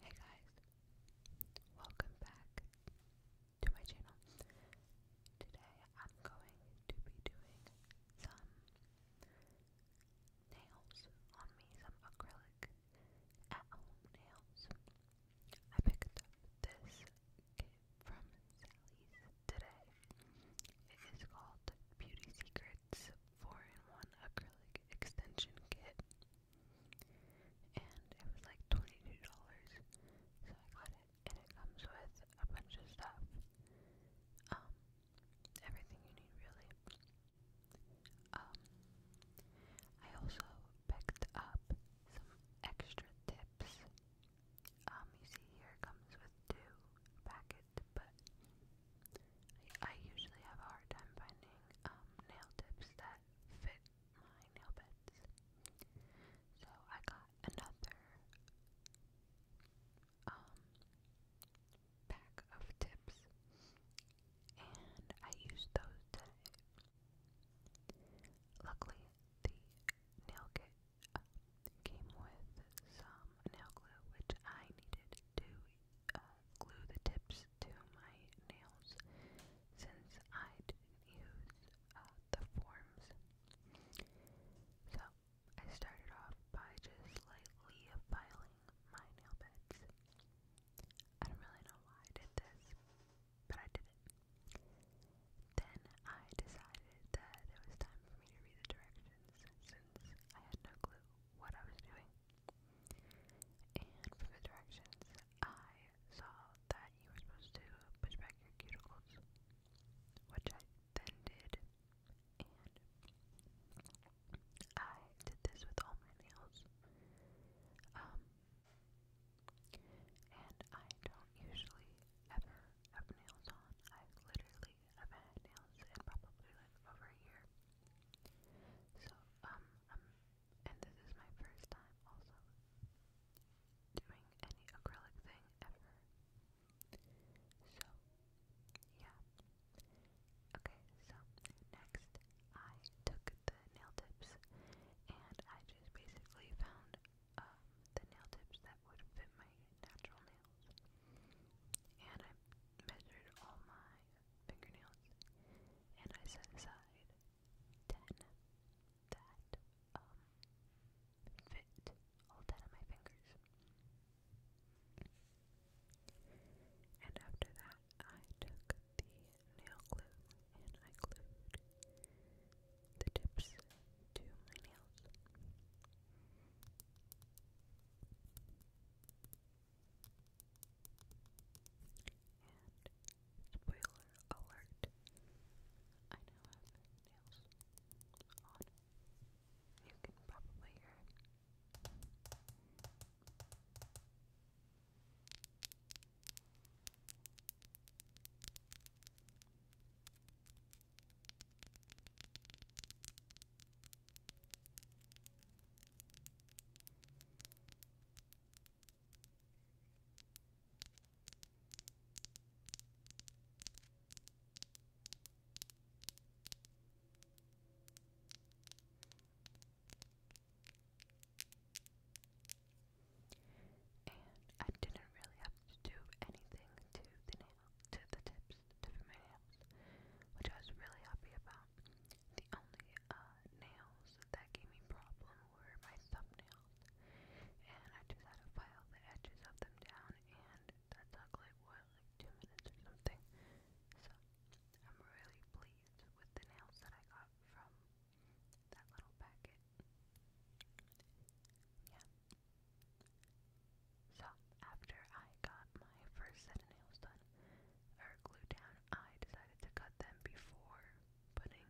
Hey guys, welcome back to my channel. Today I'm going to be doing some nails on me, some acrylic at home nails. I picked up this from Sally's today. It is called Beauty Secrets 4 in 1 Acrylic Extension Kit and it was like $22, so I got it, and it comes with a bunch of stuff, um, everything you need really. Um, I also picked up some extra tips. Um, you see here it comes with two packets, but I, usually have a hard time finding um, nail tips that fit my nail beds. So I got another um, pack of tips and I used those today. Luckily, the nail kit um, came with some nail glue, which I needed to uh, glue the tips to my nails since I didn't use uh, the forms. So I started off by just lightly filing my nail beds. I don't really know why I did this, but I did it. Then I decided that it was time for me to read the directions since I had no clue what I was doing. And for the directions, I saw that you were supposed to push back your cuticles, which I then did. And I did this with all my nails. Um, and I don't usually ever have nails on. I literally have had nails in probably like over a year. November. So, um, um, and this is my first time also doing any acrylic thing ever. So, yeah. Okay, so next I took the nail tips and I just basically found um, the nail tips that would fit my natural nails. And I measured all my fingernails, and I set aside ten that um, fit all ten of my fingers. And after that, I took the nail glue and I glued the tips to my nails. And spoiler alert, I now have nails on. You can probably hear it. Okay. And I didn't really have to do anything to the nail to the tips to for nails, which I was really happy about. The only uh, nails that gave me problem were my thumbnails, and I just had to file the edges of them down, and that took like what, like two minutes or something. So I'm really pleased with the nails that I got from that little packet. Yeah. So after I got my first set of nails done, are glued down, I decided to cut them before putting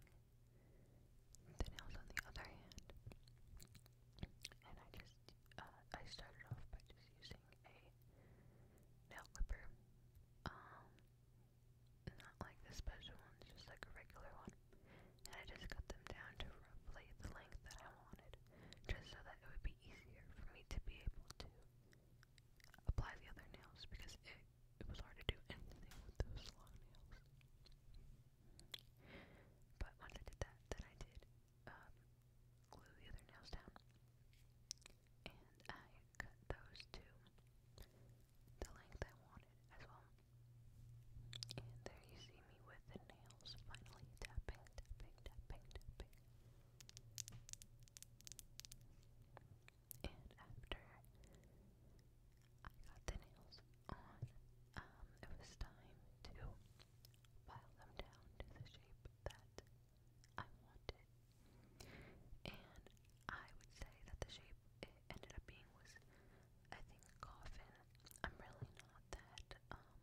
the nails on the other hand. And I just, uh, I started off by just using a nail clipper. Um, not like the special one, just like a regular one. And I just cut them down to roughly the length that I wanted, just so that it would be easier for me to be able to apply the other nails because it, it was hard to do anything with those long nails. But once I did that, then I did um, glue the other nails down. And I cut those to the length I wanted as well. And there you see me with the nails finally tapping, tapping, tapping, tapping. And after I got the nails on, um, it was time to file them down to the shape that I wanted. And I would say that the shape it ended up being was, I think, coffin. I'm really not that um,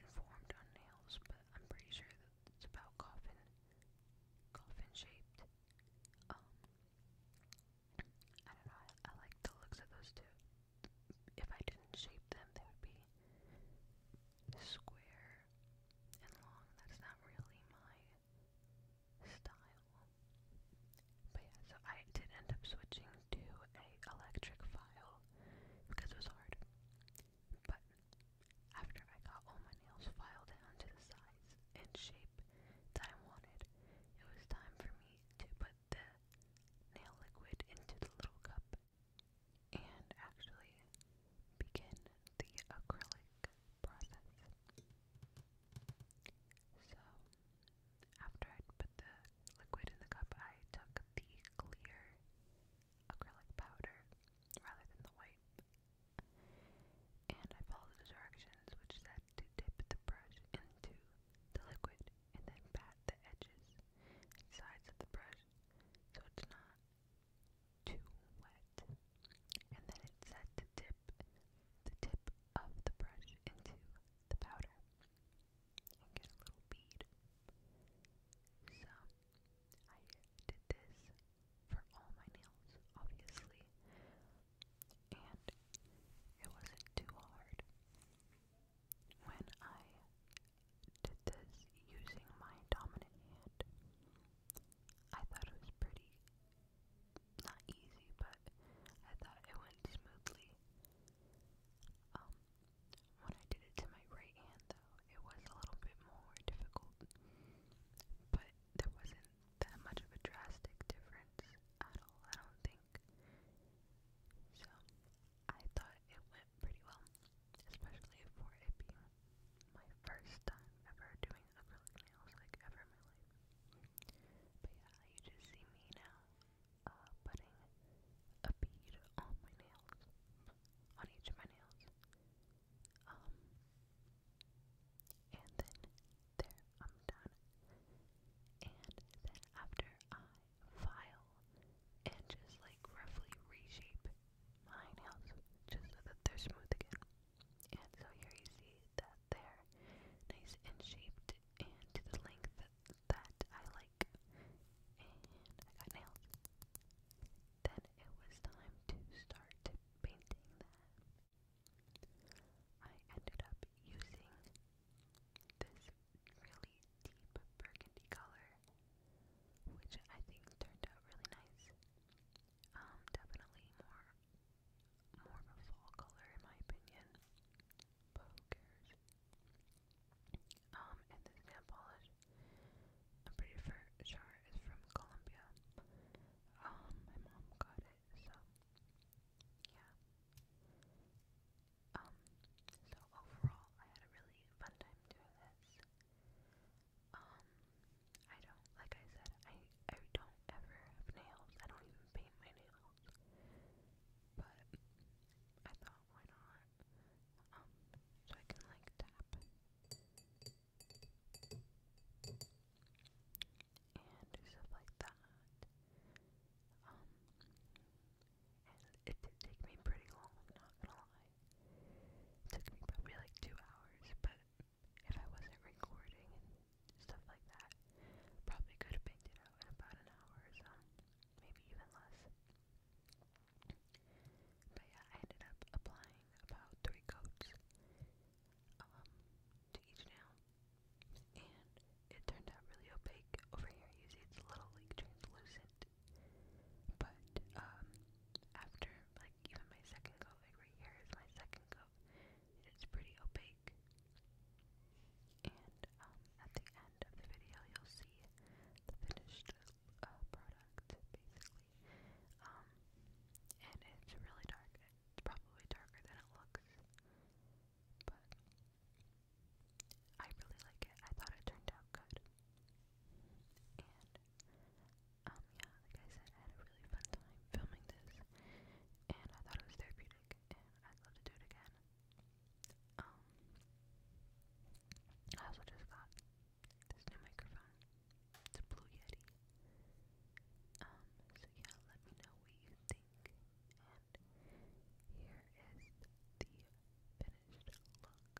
informed on nails, but I'm pretty sure it's about coffin coffin shaped. Um, I don't know, I like the looks of those two. If I didn't shape them they would be square and long. That's not really my style. But yeah, so I did end up switching to a electric file because it was hard. But after I got all my nails filed down to the size and shape that wanted, it was time for me to put the nail liquid into the little cup and actually begin the acrylic process. So, after I put the liquid in the cup, I took the clear acrylic powder rather than the white. And I followed the directions, which said to dip the brush into the liquid and then pat the edges and sides of the brush so it's not too wet. And then it said to dip the tip of the brush into the powder and get a little bead. So I did this for all my nails, obviously, and it wasn't too hard. When I did this using my dominant hand, I thought it was pretty not easy, but I thought it went smoothly. Um, when I did it to my right hand, though, it was a little bit more difficult. But there wasn't that much of a drastic difference at all, I don't think. So, I thought it went pretty well, especially for it being my first time ever doing acrylic nails, like ever in my life. But yeah, you just see me now uh, putting a bead on my nails on each of my nails. Um, and then there, I'm done. And then after I file and just like roughly reshape my nails just so that they're smooth again. And so here you see that they're nice and shaped and to the length that I like, I got nails. Then it was time to start painting them. I ended up using this really deep burgundy color, which I think turned out really nice. Um, definitely more more of a fall color in my opinion. But who cares? Um, and this nail polish, I'm pretty sure it's from Colombia. Um, my mom got it, so yeah. Um, so overall, I had a really fun time doing this. Um, I don't, like I said, I, I don't ever have nails. I don't even paint my nails. But I thought why not? so I can like tap and stuff like that. and it did me pretty long, not gonna lie. took me probably like two hours, but if I wasn't recording and stuff like that, probably could have picked it out in about an hour or so, maybe even less. But yeah, I ended up applying about three coats um, to each nail. And it turned out really opaque. Over here you see it's a little like translucent. But um, after like even my second coat, like right here is my second coat. It's pretty opaque. And um, at the end of the video you'll see the finished uh, product, basically. Um, and it's really dark. It's probably darker than it looks, but I really like it. I thought it turned out good. And, um, yeah, like I said, I had a really fun time filming this, and I thought it was therapeutic, and I'd love to do it again. Um, I also just got this new microphone. It's a Blue Yeti. Um, so yeah, let me know what you think. And here is the finished look.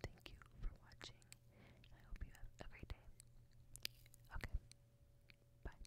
Thank you for watching. I hope you have a great day. Okay. Bye.